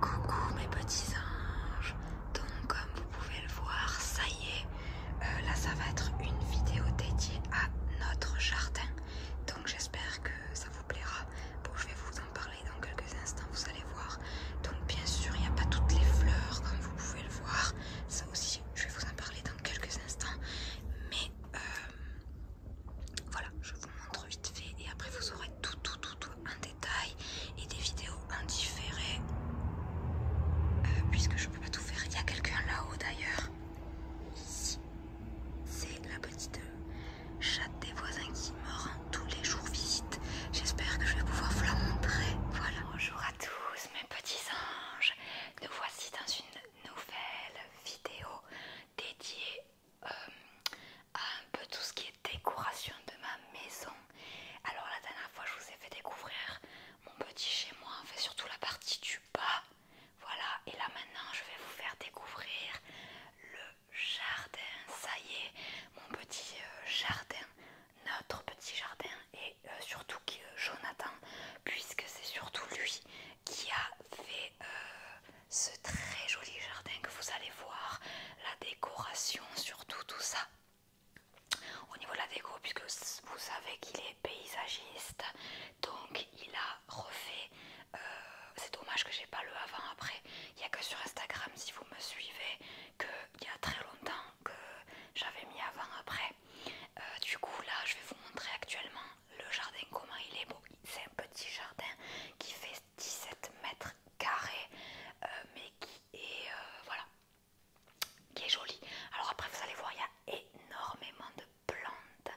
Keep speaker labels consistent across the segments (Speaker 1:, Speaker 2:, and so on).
Speaker 1: Coucou mes petits anges, donc comme vous pouvez le voir, ça y est, euh, là ça va être une vidéo dédiée à notre jardin, donc j'espère que ça vous plaira, bon je vais vous en parler dans quelques instants, vous allez voir, donc bien sûr il n'y a pas toutes les fleurs comme vous pouvez le voir, ça aussi je vais vous en parler dans quelques instants, mais euh, voilà je vous montre vite fait et après vous aurez tout tout tout tout et des vidéos indifférées. Euh, puisque je peux pas tout faire, il y a quelqu'un là-haut d'ailleurs. c'est la petite euh, chatte des voisins qui me rend tous les jours visite. J'espère que je vais pouvoir vous la montrer. Voilà. Bonjour à tous mes petits anges. Nous voici dans une nouvelle vidéo dédiée euh, un peu tout ce qui est décoration de ma maison. Alors la dernière fois je vous ai fait découvrir mon petit chez moi, fait surtout la partie du bas. Voilà, et là maintenant je vais vous faire découvrir le jardin. Ça y est, mon petit euh, jardin, notre petit jardin et euh, surtout qui, Jonathan, puisque c'est surtout lui qui a fait ce très joli jardin que vous allez voir, la décoration surtout, tout ça. Au niveau de la déco, puisque vous savez qu'il est paysagiste, donc il a refait. Euh, c'est dommage que j'ai pas le avant-après. Il n'y a que sur Instagram, si vous me suivez, qu'il y a très longtemps que j'avais mis avant-après. Euh, du coup, là, je vais vous montrer actuellement le jardin, comment il est beau. C'est un petit jardin qui fait 17 mètres carré euh, mais qui est euh, voilà qui est joli alors après vous allez voir il y a énormément de plantes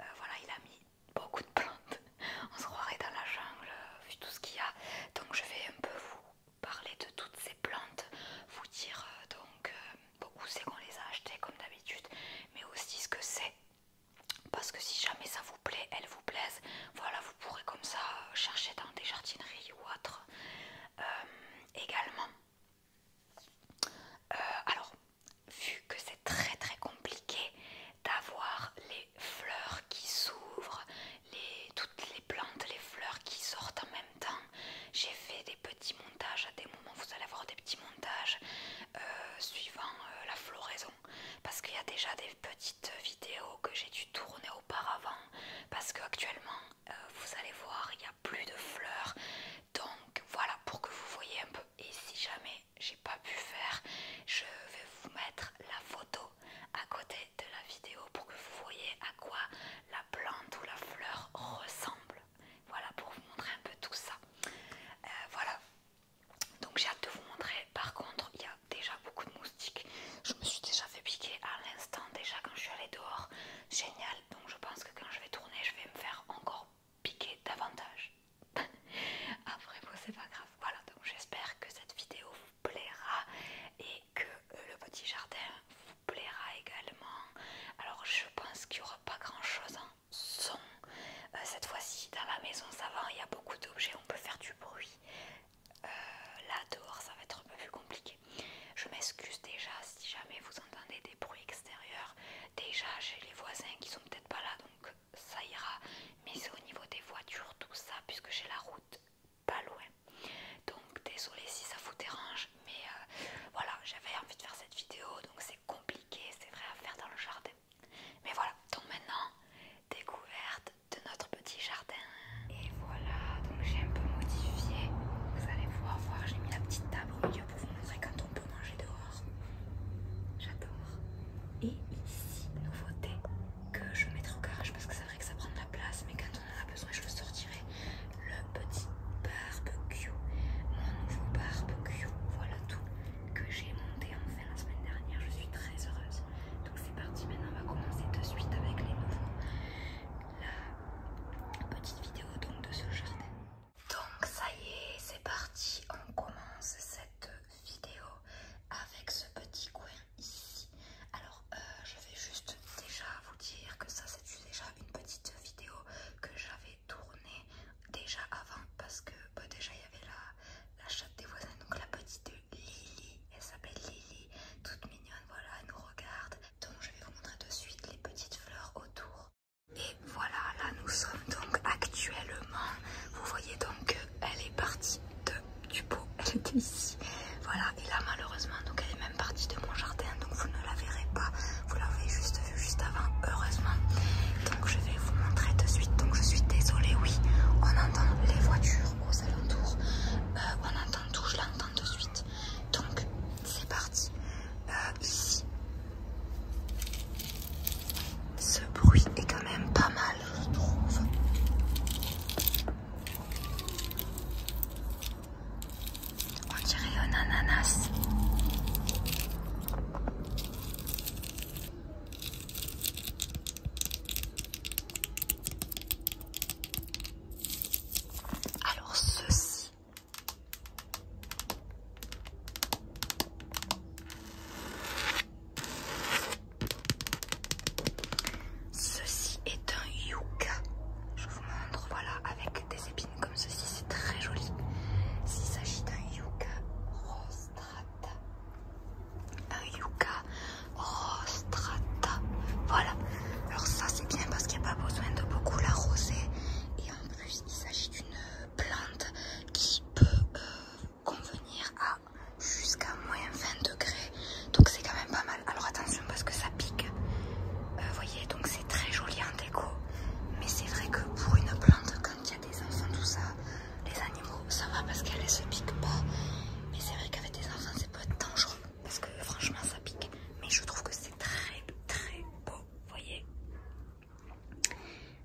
Speaker 1: euh, voilà il a mis beaucoup de plantes on se croirait dans la jungle vu tout ce qu'il y a donc je vais un peu vous parler de toutes ces plantes vous dire donc beaucoup c'est qu'on les a achetées comme d'habitude mais aussi ce que c'est parce que si jamais ça vous plaît, elle vous plaisent, voilà, vous pourrez comme ça euh, chercher dans des jardineries ou autre euh, également. Euh, alors, vu que c'est très très compliqué d'avoir les fleurs qui s'ouvrent, toutes les plantes, les fleurs qui sortent en même temps, j'ai fait des petits montages. À des moments, vous allez avoir des petits montages suivant la floraison parce qu'il y a déjà des petites vidéos que j'ai dû tourner auparavant parce qu'actuellement euh, vous allez voir il n'y a plus de fleurs donc voilà pour que vous voyez un peu et si jamais j'ai pas pu faire je vais vous mettre la photo à côté de la vidéo pour que vous voyez à quoi la plante ou la fleur ressemble voilà pour vous montrer un peu tout ça euh, voilà donc j'ai hâte de vous montrer. Par contre, il y a déjà beaucoup de moustiques. Je me suis déjà fait piquer à l'instant déjà quand je suis allée dehors. Génial. Donc je pense que quand je vais tourner, je vais me faire encore piquer davantage. Après, bon, c'est pas grave. Voilà. Donc j'espère que cette vidéo vous plaira et que euh, le petit jardin vous plaira également. Alors je pense qu'il n'y aura pas grand chose en son. Euh, cette fois-ci, dans la maison, ça va. Il y a beaucoup d'objets. On peut faire du bruit. Euh, là dehors ça va être un peu plus compliqué. Je m'excuse déjà si jamais vous entendez des bruits extérieurs. Déjà j'ai les voisins qui sont peut-être pas là donc ça ira. Mais c'est au niveau des voitures tout ça puisque j'ai la route pas loin. Donc désolé si ça vous dérange mais euh, voilà j'avais envie de faire cette vidéo donc c'est compliqué c'est vrai à faire dans le jardin. Mais voilà donc maintenant découverte de notre petit jardin. Et voilà, donc j'ai un peu modifié. Vous allez pouvoir voir, j'ai mis la petite table au milieu pour vous montrer quand on peut manger dehors. J'adore. Et ici, nouveauté que je mettrai au garage parce que c'est vrai que ça prend de la place, mais quand on en a besoin, je le sortirai. Le petit barbecue, mon nouveau barbecue, voilà tout que j'ai monté enfin la semaine dernière. Je suis très heureuse. Donc c'est parti, maintenant on va commencer de suite avec les nouveaux. La petite vidéo donc de ce jardin. Donc ça y est, c'est parti, on commence cette vidéo avec ce petit coin ici. Alors euh, je vais juste déjà vous dire que ça c'est déjà une petite vidéo que j'avais tournée déjà avant parce que bah, déjà il y avait là la, chatte des voisins. Donc la petite Lily, elle s'appelle Lily, toute mignonne, voilà, elle nous regarde. Donc je vais vous montrer de suite les petites fleurs autour. Et voilà, là nous sommes donc actuellement, vous voyez donc elle est partie de, du pot, elle était ici. Voilà, et là malheureusement, donc elle est même partie de mon jardin, donc vous ne la verrez pas, vous l'avez juste vue juste avant, heureusement. Donc je vais vous montrer de suite, donc je suis désolée, oui, on entend les voitures aux alentours, euh, on entend tout, je l'entends de suite. Donc c'est parti. Euh, ce bruit est quand même pas mal, je trouve. On dirait un ananas. Alors ceci. Ceci est un yucca. Je vous montre, voilà, avec des épines comme ceci, c'est très joli. S'il s'agit d'un yucca rose yucca Voilà, alors ça c'est bien parce qu'il n'y a pas besoin de beaucoup rosée et en plus il s'agit d'une plante qui peut euh, convenir à jusqu'à moins 20 degrés donc c'est quand même pas mal. Alors attention parce que ça pique, euh, vous voyez donc c'est très joli en déco mais c'est vrai que pour une plante quand il y a des enfants tout ça les animaux, ça va parce qu'elles ne se piquent pas. Mais c'est vrai qu'avec des enfants, c'est pas dangereux parce que franchement, ça pique. Mais je trouve que c'est très, très beau, vous voyez.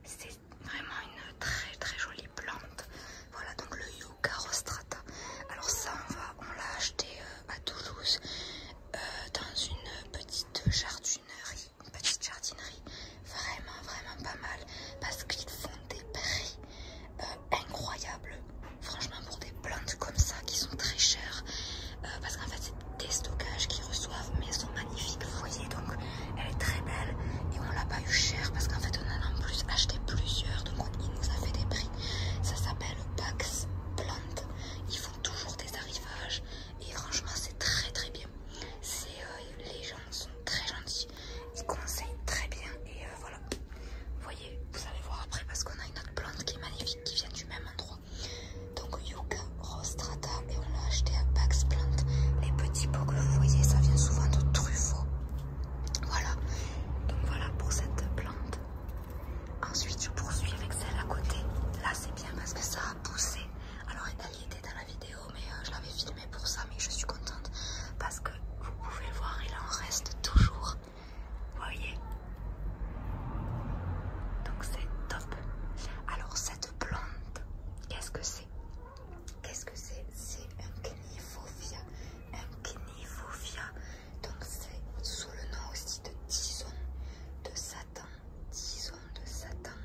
Speaker 1: C'est vraiment une très, très jolie plante. Voilà, donc le Yucca rostrata. Alors ça, on l'a acheté euh, à Toulouse euh, dans une petite jardinerie. Une petite jardinerie vraiment, vraiment pas mal parce qu'ils font des prix. Euh, incroyable. Franchement, pour des plantes comme ça qui sont très chères, euh, parce qu'en fait, c'est des stockages qui reçoivent, mais elles sont magnifiques, voyez. Donc, elle est très belle et on l'a pas eu cher parce qu'en fait, on en a en plus acheté plusieurs. Donc, il nous a fait des prix. Ça s'appelle Pax plantes Ils font toujours des arrivages et franchement, c'est très très bien. c'est euh, les gens sont très gentils, ils conseillent très bien et voilà euh, vous voyez, vous allez voir après parce qu'on a une autre plante qui est magnifique, qui vient du même endroit. Donc Yucca rostrata et on l'a acheté à Pax Plant. Les petits pots que vous voyez, ça vient souvent de Truffaut. Voilà. Donc voilà pour cette plante. Ensuite, je poursuis avec celle à côté. Là, c'est bien parce que ça a poussé. Alors, elle était dans la vidéo, mais euh, je l'avais filmé pour ça, mais je suis contente parce que vous pouvez le voir, il en reste toujours. voyez Donc c'est top. Alors cette plante, qu'est-ce que c'est Qu'est-ce que c'est C'est un knifofia, Un knifofia. Donc c'est sous le nom aussi de tison de Satan. Tison de Satan.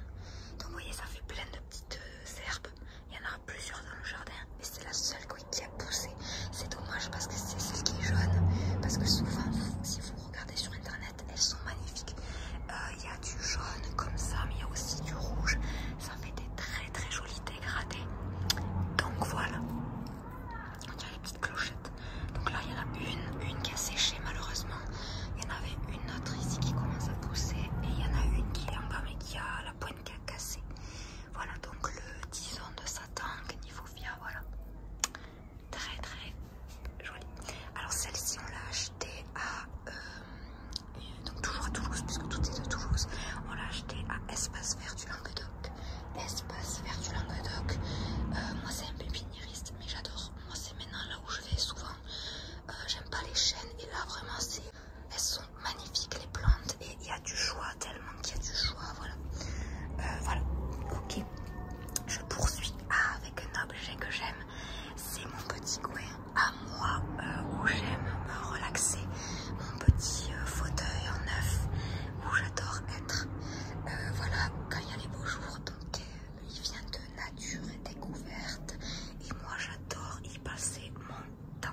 Speaker 1: Donc vous voyez, ça fait plein de petites euh, herbes. Il y en a plusieurs dans le jardin, mais c'est la seule qui a poussé. C'est dommage parce que c'est celle qui est jaune. Parce que souvent, si vous regardez sur internet, elles sont magnifiques. Euh, il y a du jaune comme ça, mais il y a aussi du rouge. Ça fait des très très jolies dégradés. Donc voilà. On dirait les petites clochettes. Donc là, il y en a une, une qui a séché malheureusement. Il y en avait une autre ici qui commence à pousser. Et il y en a une qui est en bas mais qui a la pointe qui a cassé. Voilà donc le tison de Satan niveau via, voilà. Très très joli. Alors celle-ci on l'a acheté à... Euh, donc toujours à Toulouse, puisque tout est de Toulouse. On l'a achetée à Espace Vert du Languedoc. Espace Vert du Languedoc. Euh, moi c'est un pépiniériste, mais j'adore. Moi c'est maintenant là où je vais souvent. Euh, j'aime pas les chaînes et là vraiment c'est elles sont magnifiques les plantes et il y a du choix, tellement qu'il y a du choix, voilà. Euh, voilà, ok. Je poursuis avec un objet que j'aime. C'est mon petit coin à moi euh, où j'aime me relaxer. Mon petit euh, fauteuil en neuf où j'adore être. voilà, quand il y a les beaux jours, donc il vient de nature et découverte. Et moi j'adore y passer mon temps.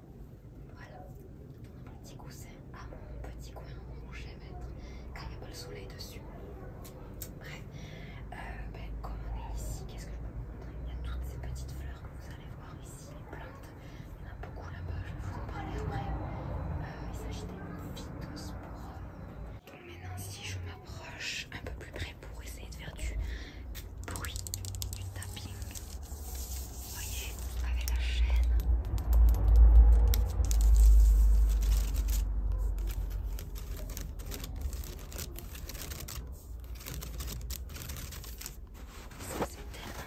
Speaker 1: Voilà, mon petit coussin à mon petit coin où j'aime être mettre quand il n'y a pas le soleil dessus. Bref, euh, ben, comme on est ici, qu'est-ce que je peux vous montrer Il y a toutes ces petites fleurs que vous allez voir ici, les plantes. Il y en a beaucoup là-bas, je vais vous en parler après. Euh, il s'agit des phytospores. Donc maintenant, si je m'approche un peu plus près pour essayer de faire du bruit, du tapping, voyez, avec la chaîne. Ça c'est tellement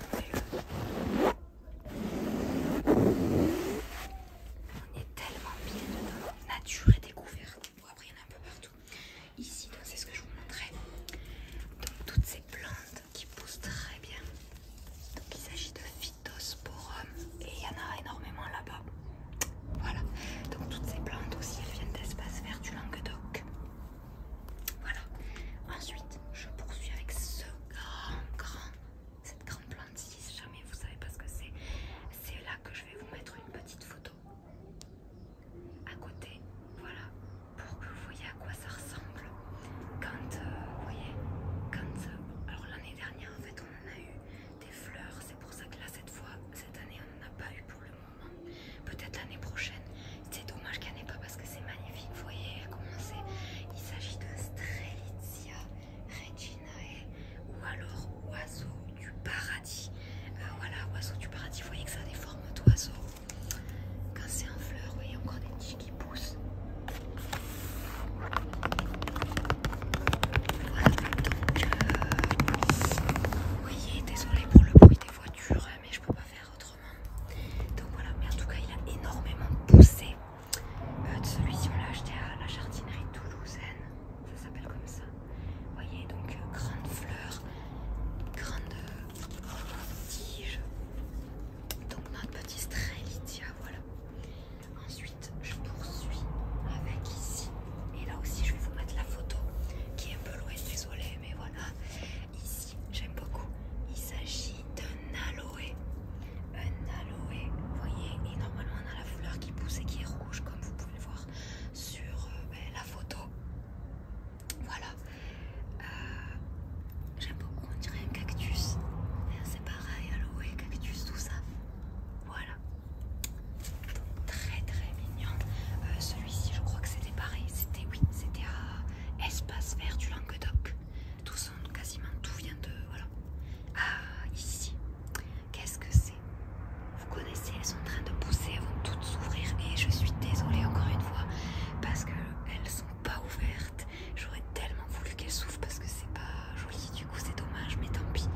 Speaker 1: mieux. On est tellement bien dedans. Nature et découverte. Après il y en a un peu partout. Ici, c'est ce que je vous montrais. Donc toutes ces plantes qui pousse très bien. Donc il s'agit de Phytosporum et il y en a énormément là-bas. Voilà. Donc toutes ces plantes aussi elles viennent d'espace vert du Languedoc. Voilà. Ensuite, je poursuis avec ce grand, grand, cette grande plante. Si jamais vous savez pas ce que c'est, c'est là que je vais vous mettre une petite photo à côté, voilà, pour que vous voyez à quoi ça ressemble. Quand, euh, vous voyez, quand, euh, alors l'année dernière en fait on en a eu des fleurs, c'est pour ça que là cette fois, cette année on n'en a pas eu pour le moment, peut-être l'année prochaine. C'est dommage qu'il n'y pas parce que c'est magnifique, vous voyez comment c'est. Il s'agit d'un Strelitzia reginae ou alors oiseau du paradis. Euh, voilà, oiseau du paradis, vous voyez que ça a des formes d'oiseau. Quand c'est en fleurs, vous voyez encore des tiges qui poussent. Voilà, euh, désolé pour le bruit des voitures, mais je peux pas faire autrement. Donc voilà, mais en tout cas, il a énormément poussé. Euh, celui-ci, on l'a acheté à la jardinerie toulousaine, ça s'appelle comme ça. Vous voyez, donc euh, grande fleur, grande tige. Donc notre petit strelitia, voilà. Ensuite, je poursuis avec ici. Et là aussi, je vais vous mettre la photo qui est un peu loin, désolé, mais voilà. Ici, j'aime beaucoup. Il s'agit d'un aloe. Un aloe, voyez, et normalement on a la fleur qui pousse et qui est rouge, comme vous pouvez le voir sur euh, ben, la photo. Voilà, euh, j'aime beaucoup, on dirait un cactus. C'est pareil, aloe, cactus, tout ça. Voilà. très très mignon. Euh, celui-ci, je crois que c'était pareil. C'était oui, c'était à Espace Vert du Languedoc. Tout son, quasiment tout vient de... Voilà. Ah, ici. Qu'est-ce que c'est Vous connaissez, elles sont en train de pousser, elles vont toutes s'ouvrir. Et je suis désolée encore une fois parce qu'elles pas ouvertes. J'aurais tellement voulu qu'elles s'ouvrent parce que c'est pas joli, du coup c'est dommage, mais tant pis.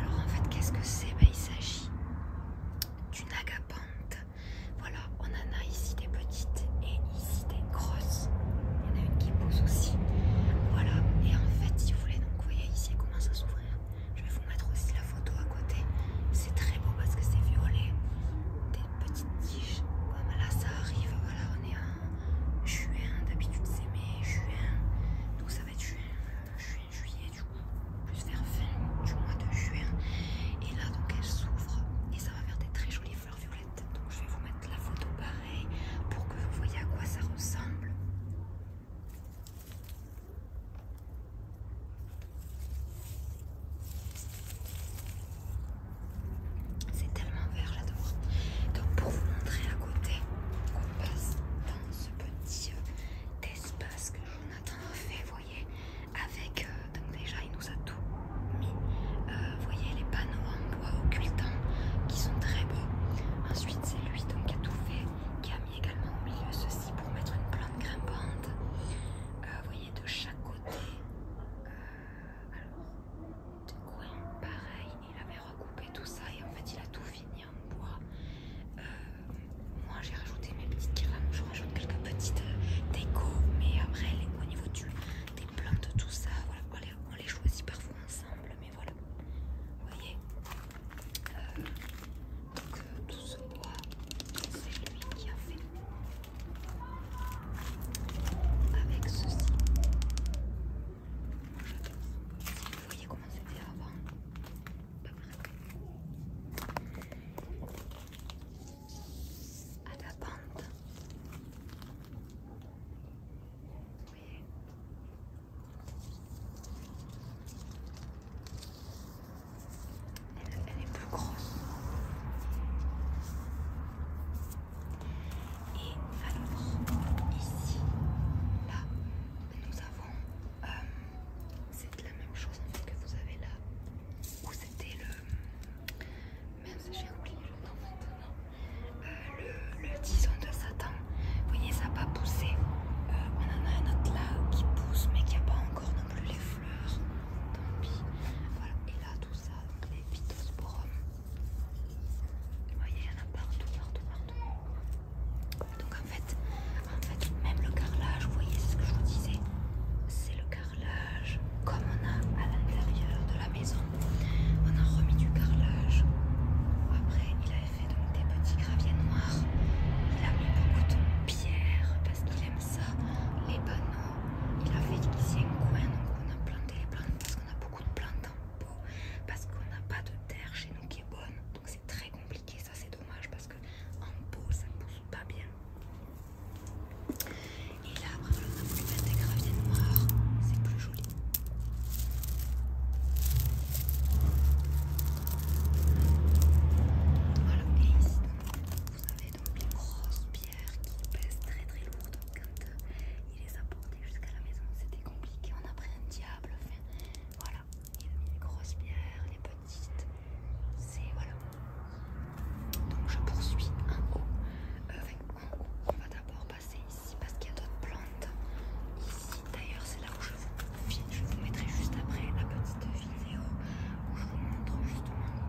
Speaker 1: Alors en fait, qu'est-ce que c'est ben, Il s'agit d'une agapante. Voilà, on en a ici des petites et ici des grosses. Il y en a une qui pousse aussi. Voilà, et en fait, si vous voulez, donc voyez ici, elle commence à s'ouvrir. Je vais vous mettre aussi la photo à côté. C'est très beau parce que c'est violet petite tige, là, ça arrive. Voilà, on est en juin. D'habitude, c'est mai, juin. Donc, ça va être juin, juin, juillet, du coup. Plus vers fin du mois de juin. Et là, donc, elle s'ouvre. Et ça va faire des très jolies fleurs violettes. Donc, je vais vous mettre la photo pareil pour que vous voyez à quoi ça ressemble. C'est tellement vert, j'adore. Donc pour vous montrer à côté, on passe dans ce petit euh, espace que Jonathan a fait, voyez, avec, euh, donc déjà il nous a tout mis, euh, Vous voyez les panneaux en bois occultants qui sont très beaux. Ensuite c'est lui donc qui a tout fait, qui a mis également au milieu ceci pour mettre une plante grimpante. Vous voyez de chaque côté, alors, du coup, pareil, il avait recoupé tout ça et en fait, il a tout fini en bois. Euh, moi, j'ai rajouté mes petites guirlandes, je rajoute quelques petites euh, déco mais après, les, au niveau des plantes, tout ça, voilà, on les, choisit parfois ensemble, mais voilà. Vous voyez euh, Donc, tout ce bois, c'est lui qui a fait avec ceci. vous voyez comment c'était avant, pas À la pente. Vous elle, est plus grosse. Et alors, ici, là, nous avons. Euh, c'est la même chose en fait que vous avez là où c'était le. même. j'ai oublié le nom maintenant. Euh, le, tison de Satan. voyez, ça n'a pas poussé. Euh, on en a un autre là qui pousse, mais qui n'a pas encore non plus les fleurs. Tant pis. Voilà, et là, tout ça les phytosporums. Vous voyez, il y en a partout, partout, partout. Donc en fait, en fait même le carrelage, vous voyez, c'est ce que je vous disais, c'est le carrelage comme on a à l'intérieur de la maison. On a remis du carrelage. Après, il avait fait donc des petits graviers noirs. Il a mis beaucoup de pierres parce qu'il aime ça, les bonnes la fête y c'est un coin, donc on a planté les plantes parce qu'on a beaucoup de plantes en pot, parce qu'on n'a pas de terre chez nous qui est bonne, donc c'est très compliqué, ça c'est dommage parce que en pot ça pousse pas bien. Et là, après on a voulu mettre des graviers noirs, c'est plus joli. Voilà, et ici vous avez donc les grosses pieds qui pèsent très très lourd. Donc quand il les a portés jusqu'à la maison, c'était compliqué. On a pris un diable, enfin voilà. Il a mis les grosses pierres, les petites. C'est voilà. Donc je poursuis un haut. Euh, on va d'abord passer ici parce qu'il y a d'autres plantes. Ici d'ailleurs, c'est là où je vous, je vous mettrai juste après la petite vidéo où je vous montre justement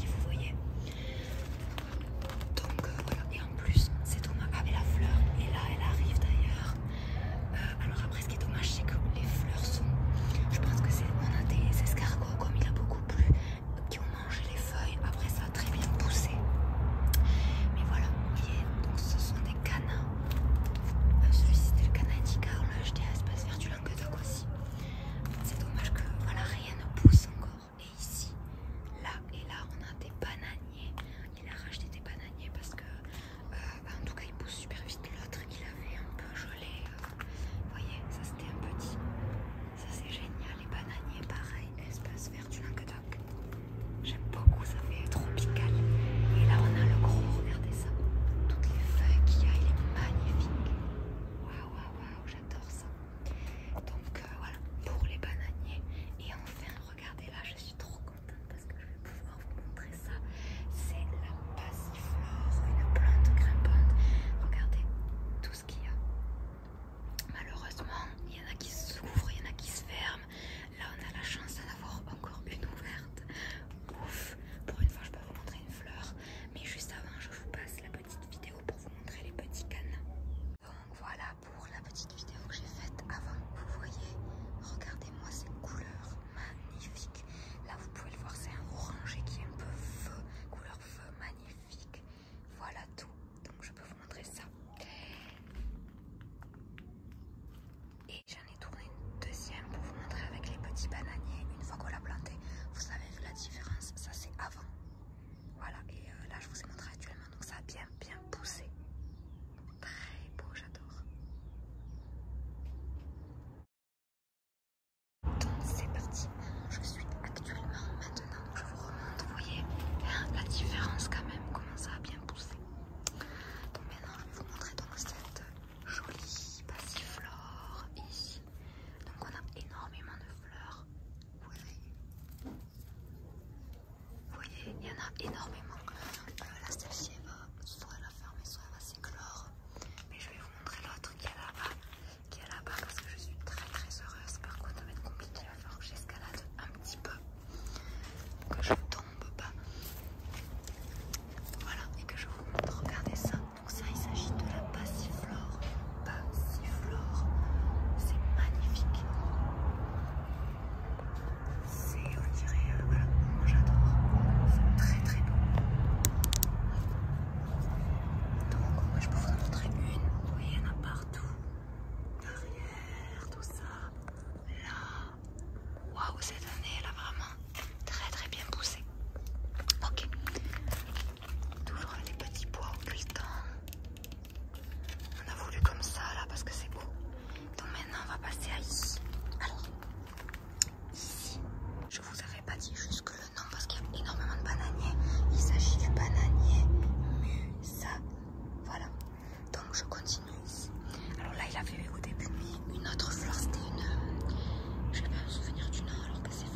Speaker 1: vous voyez. Donc euh, voilà, et en plus, c'est dommage. avec la fleur, et là, elle arrive d'ailleurs. Euh, alors après, ce qui est dommage, c'est que les fleurs sont. Je pense que c'est. On a des escargots, comme il a beaucoup plu, qui ont mangé les feuilles. Après, ça a très bien poussé. Mais voilà, vous donc ce sont des canins. Euh, celui-ci, c'était le indica on l'a acheté à Espace Vertu c'est dommage que voilà, rien ne pousse encore. Et ici, là et là, on a des bananiers. Il a racheté des bananiers parce que, euh, bah, en tout cas, il pousse super vite. L'autre, il avait un peu gelé. Euh, vous voyez, ça c'était un petit. Ça c'est génial. Les bananiers, pareil, espace vert du Languedoc. J'aime beaucoup, ça fait tropical. Et là, on a le gros, regardez ça. Toutes les feuilles qu'il y a, il est magnifique. Waouh, waouh, j'adore ça. Donc euh, voilà, pour les bananiers. Et enfin, regardez là, je suis trop contente parce que je vais pouvoir vous montrer ça. C'est la passiflore, une plante grimpante. Regardez tout ce qu'il y a. Malheureusement, il y en a qui s'ouvrent, il y en a qui se ferment. Là, on a la chance d'en avoir encore une ouverte. Ouf, pour une fois, je peux vous montrer une fleur. Mais juste avant, je vous passe la vidéo pour vous montrer les petits cannes. Donc voilà pour la petite vidéo que j'ai faite avant. Vous voyez, regardez-moi ces couleurs magnifiques. Là vous pouvez le voir, c'est un orangé qui est un peu feu, couleur feu magnifique. Voilà tout. Donc je peux vous montrer ça. Et j'en ai tourné une deuxième pour vous montrer avec les petits bananiers une fois qu'on l'a planté. Vous savez la différence, ça c'est avant. Voilà, et euh, là je vous ai montré actuellement, donc ça a bien bien poussé. Très beau, j'adore. Donc c'est parti, je suis actuellement maintenant, je vous remonte, vous voyez la différence quand même, comment ça a bien poussé. Donc maintenant je vais vous montrer donc cette jolie passiflore ici. Donc on a énormément de fleurs. Vous voyez, Vous voyez il y en a énormément. Donc la ci va soit la fermer, soit elle va s'éclore. Mais je vais vous montrer l'autre qui est là-bas. Qui est là-bas parce que je suis très très heureuse. Par contre, ça va être compliqué. Il va que j'escalade un petit peu. Que je tombe pas. Voilà, et que je vous montre. Regardez ça. Donc ça, il s'agit de la passiflore. Passiflore, c'est magnifique. C'est, on dirait, euh, voilà, moi j'adore. C'est très très beau. Donc moi je peux vous en montrer une. Oui, il y en a partout. Derrière, tout ça. Là. Waouh, cette année, elle a vraiment très très bien poussé. Ok. Toujours les petits pois occultants. On a voulu comme ça là parce que c'est beau. Donc maintenant on va passer à ici. Alors, ici, je vous avais pas dit jusque le nom parce qu'il y a énormément de bananiers. Il s'agit du bananier Musa. Voilà. Donc je continue ici. Alors là il avait au début une autre fleur, c'était une... Euh, je pas me souvenir du nom alors que c'est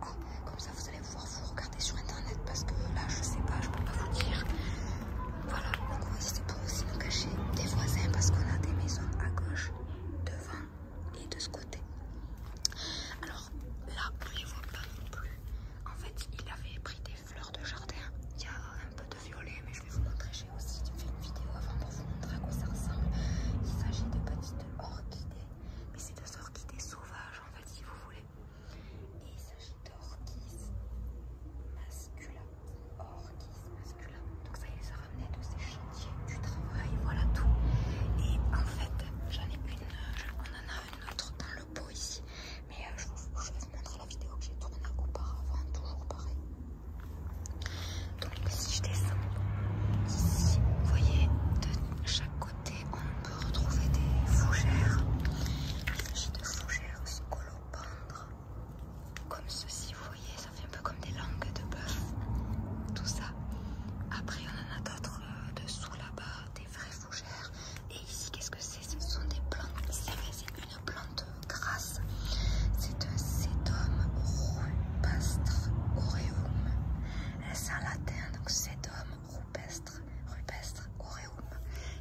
Speaker 1: ah, comme ça vous allez pouvoir vous regarder sur internet parce que là je sais pas, je peux pas vous dire. Voilà, donc n'hésitez pas aussi nous cacher des voisins parce qu'on a des maisons à gauche, devant et de ce côté. Alors là, vous les pas non plus. En fait, il avait pris des fleurs de jardin. Il y a un peu de violet, mais je vais vous montrer. J'ai aussi fait une vidéo avant pour vous montrer à quoi ça ressemble. Il s'agit de petites orchidées, mais c'est des orchidées sauvages en fait, si vous voulez. Et il s'agit d'orchis masculin. Orchis masculin. Donc ça, il se ramenait de ces chantiers du travail, voilà tout. Et en fait, j'en ai une, on en a une autre dans le pot ici. Mais euh, je, vais vous montrer la vidéo que j'ai tournée auparavant, toujours pareil. Donc si je descends ici, vous voyez, de chaque on peut retrouver des fougères. Il s'agit fougères scolopendres, comme ceci, vous voyez, ça fait un peu comme des langues de bœuf, tout ça. Après, on en a d'autres euh, dessous là-bas, des vraies fougères. Et ici, qu'est-ce que c'est Ce sont des plantes, c'est une plante grasse. C'est un sedum rupestre aureum. C'est en latin, donc sedum rupestre rupestre,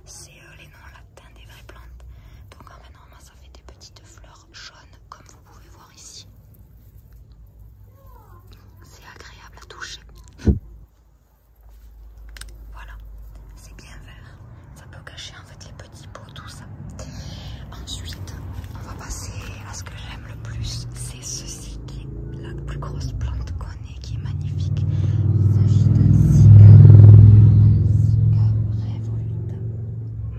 Speaker 1: c'est euh, les noms latins des vraies plantes. Donc en normalement ça fait des petites fleurs jaunes, comme vous pouvez voir ici. C'est agréable à toucher. Voilà, c'est bien vert. Ça peut cacher en fait les petits pots, tout ça. Ensuite, on va passer à ce que j'aime le plus, c'est ceci qui est la plus grosse plante qu'on ait, qui est magnifique. Il s'agit d'un cica révolute.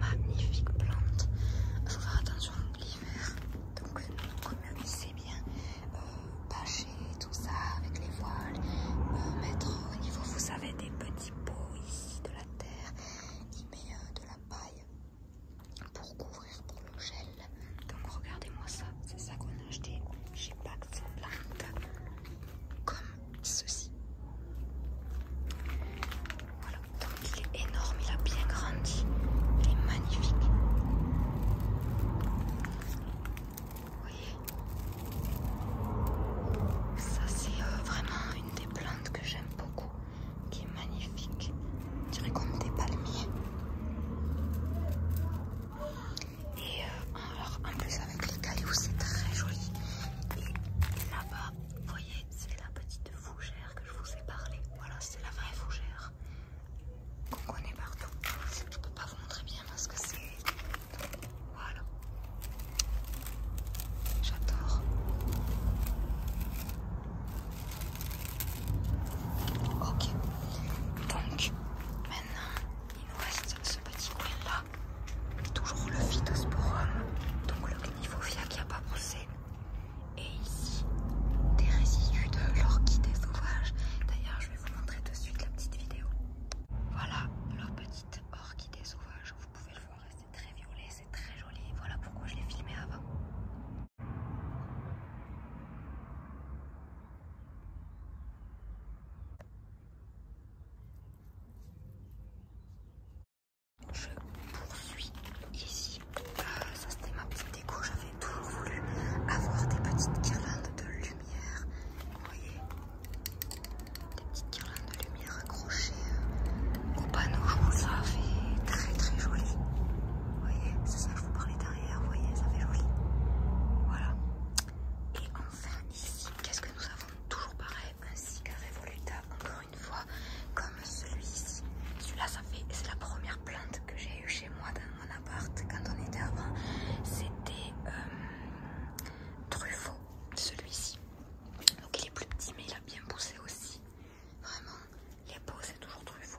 Speaker 1: Magnifique plante. Faut faire attention l'hiver. Donc nous commercer bien, euh, tout ça avec les voiles, euh, mettre au niveau, vous savez, des petits pots ici de la terre. Il met euh, de la paille pour couvrir. Donc regardez-moi ça, c'est ça qu'on a acheté chez Pax plantes Comme ceci. Voilà, donc il est énorme, il a bien grandi, il est magnifique. Vous voyez Ça c'est euh, vraiment une des plantes que j'aime beaucoup, qui est magnifique. Je comme des palmiers. Et euh, alors en plus avec les cailloux c'est très joli. Et là-bas, vous voyez, c'est la petite fougère que je vous ai parlé. Voilà, c'est la vraie fougère qu'on connaît partout. Je peux pas vous montrer bien parce que c'est... Voilà. J'adore. Ok. Donc, maintenant, il nous reste ce petit coin là. Toujours le phytosporum. Donc le cnifovia qui n'a pas poussé. Et ici, des résidus de l'orchidée sauvage. D'ailleurs, je vais vous montrer tout de suite la petite vidéo. Voilà leur petite orchidée sauvage. Vous pouvez le voir, c'est très violet, c'est très joli. Voilà pourquoi je l'ai filmé avant. Je poursuis ici. Euh, ça c'était ma petite déco. J'avais toujours voulu avoir des petites guirlandes de lumière. Vous voyez Des petites guirlandes de lumière accrochées euh, au panneau. ça fait très très joli. Vous voyez C'est ça que je vous parlais derrière voyez, ça fait Voilà. Et enfin ici, qu'est-ce que nous avons Toujours pareil, un cigare Revoluta, encore une fois, comme celui-ci. Celui-là, ça fait, c'est la première plante que j'ai eue chez moi dans mon appart quand on était avant. C'était euh, Truffaut, celui-ci. Donc il est plus petit, mais il a bien poussé aussi. Vraiment, les peaux, c'est toujours Truffaut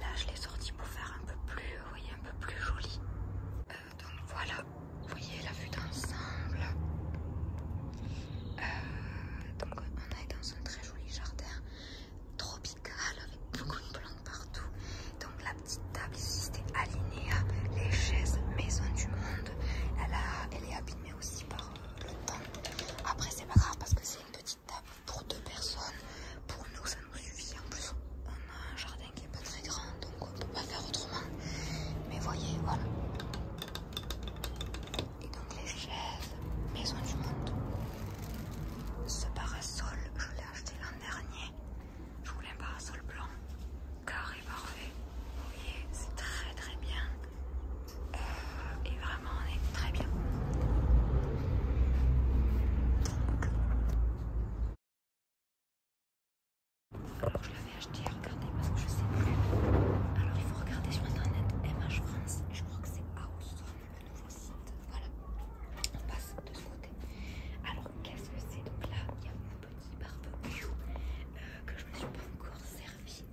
Speaker 1: Là, je l'ai sorti pour faire un peu plus, un peu plus joli. Euh, donc voilà, vous voyez la vue d'ensemble. Euh, donc on est dans un très joli jardin tropical avec beaucoup de plantes partout. Donc la petite table ici, c'était à les chaises maison du monde. Elle, elle est abîmée aussi par euh, le temps. Après, c'est pas grave parce que c'est une petite table pour deux personnes. Pour nous, ça nous suffit. En plus, on a un jardin qui est pas très grand, donc on ne peut pas faire autrement. Mais voyez, voilà. Et donc les chaises, maison du monde. Ce parasol, je l'ai acheté l'an dernier. Je voulais un parasol blanc, carré parfait. Vous voyez, c'est très très bien. Euh, et vraiment, on est très bien. Donc, alors je l'avais acheté, regardez parce que je sais plus. Alors il faut regarder sur internet MH France, je crois que c'est Houston, le nouveau site. Voilà, on passe de ce côté. Alors qu'est-ce que c'est Donc là, il y a mon petit barbecue euh, que je me suis pas encore servi.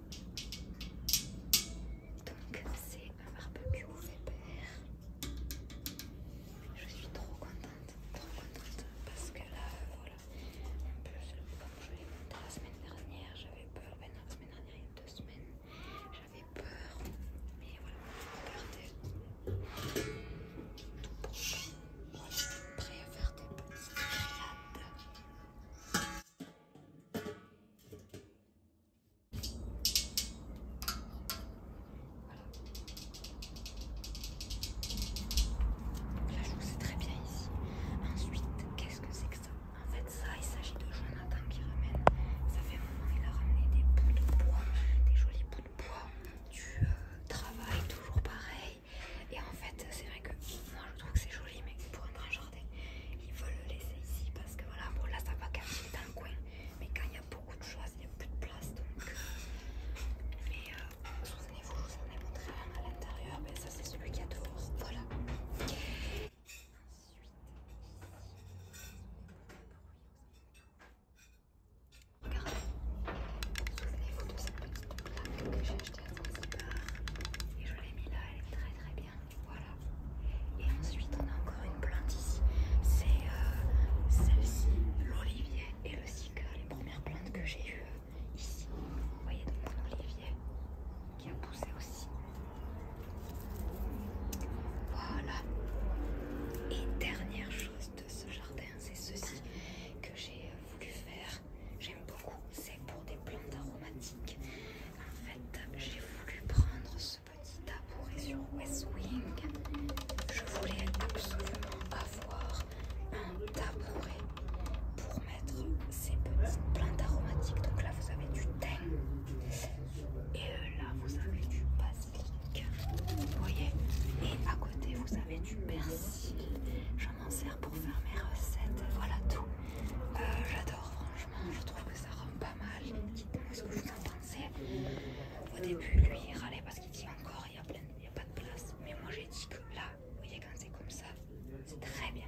Speaker 1: Donc c'est un barbecue vépère. Je suis trop contente, trop contente parce que là, voilà. En plus, comme je l'ai monté la semaine dernière, j'avais peur. Ben, la semaine dernière, il y a deux semaines, j'avais peur. Mais voilà, regardez. Tout pour je suis prêt à faire des petites grillades. Voilà. je vous c'est très bien ici. Ensuite, qu'est-ce que c'est que ça En fait, ça, il s'agit de Jonathan qui ramène. Ça fait un moment qu'il a ramené des bouts de bois, des jolis bouts de bois du euh, travail, toujours pareil. Et en fait, c'est vrai que moi je trouve que c'est joli, mais pour un ils veulent le laisser ici parce que voilà, bon là ça va quand dans le coin. Mais quand il y a beaucoup de choses, il n'y a plus de place. Donc, mais euh, euh, souvenez-vous, je vous en ai montré un à l'intérieur. Mais ben, ça c'est celui qui a dehors. Voilà. Ensuite, Regardez, souvenez-vous de cette petite plaque que j'ai achetée à Zanzibar et je l'ai mis là, elle est très très bien. Voilà. Et ensuite, on a encore une plante ici. C'est euh, celle-ci, l'olivier et le cica, les premières plantes que j'ai eues euh, ici. Vous voyez donc mon olivier qui a poussé aussi. Voilà. Et dernière chose de ce jardin, c'est ceci que j'ai euh, voulu faire. J'aime beaucoup. C'est pour des plantes aromatiques. En fait, j'ai voulu prendre ce petit tabouret sur West Wing. Je voulais absolument avoir un tabouret pour mettre ces petites plantes aromatiques. Donc là, vous avez du thym et euh, là, vous avez du basilic. Vous voyez Et à côté, vous avez du persil. J'en m'en sers pour faire mes recettes. Voilà tout. Euh, j'adore J'adore, je trouve que ça rend pas mal. Dites-moi mm. ce que vous en pensez. Au début, lui il râlait parce qu'il dit encore il n'y a, pas de place. Mais moi j'ai dit que là, vous voyez quand c'est comme ça, c'est très bien.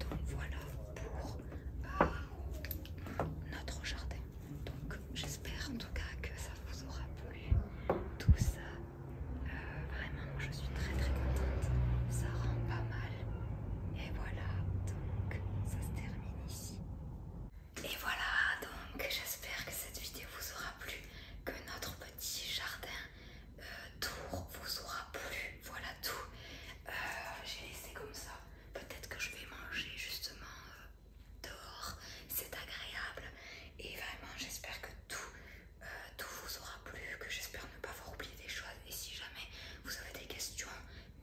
Speaker 1: Donc voilà pour euh, notre jardin. Donc j'espère en tout cas que ça vous aura plu. Tout ça, euh, vraiment je suis très très contente. Ça rend pas mal. Et voilà, donc ça se termine ici. Et voilà, donc j'espère que cette vidéo vous aura plu, que notre petit jardin euh, tour vous aura plu. Voilà tout. Euh, j'ai laissé comme ça. Peut-être que je vais manger justement euh, dehors. C'est agréable. Et vraiment, j'espère que tout, tout vous aura plu, que j'espère ne pas avoir oublié des choses. Et si jamais vous avez des questions,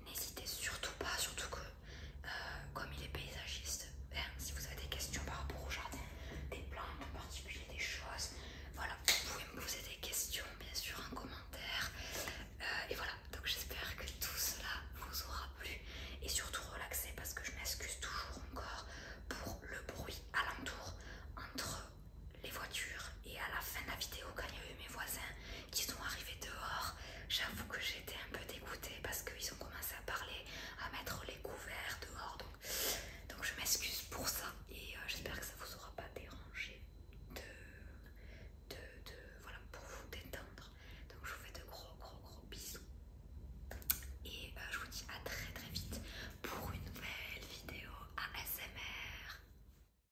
Speaker 1: n'hésitez surtout pas, surtout que euh, comme il est paysagiste, hein, si vous avez des questions par rapport au jardin, des plantes en particulier, des choses, voilà, vous pouvez me poser des questions bien sûr en commentaire. Euh, et voilà, donc j'espère que tout cela vous aura plu et surtout relaxer parce que je m'excuse toujours encore pour le bruit alentour entre les voitures et à la fin de la vidéo quand il y a eu mes voisins qui sont arrivés dehors, j'avoue que j'étais un peu dégoûtée parce qu'ils ont commencé à parler, à mettre les couverts dehors. Donc, donc je m'excuse pour ça et euh, j'espère que ça vous aura pas dérangé de, de, voilà, pour vous détendre. Donc je vous fais de gros gros gros bisous et euh, je vous dis à très très vite pour une nouvelle vidéo ASMR.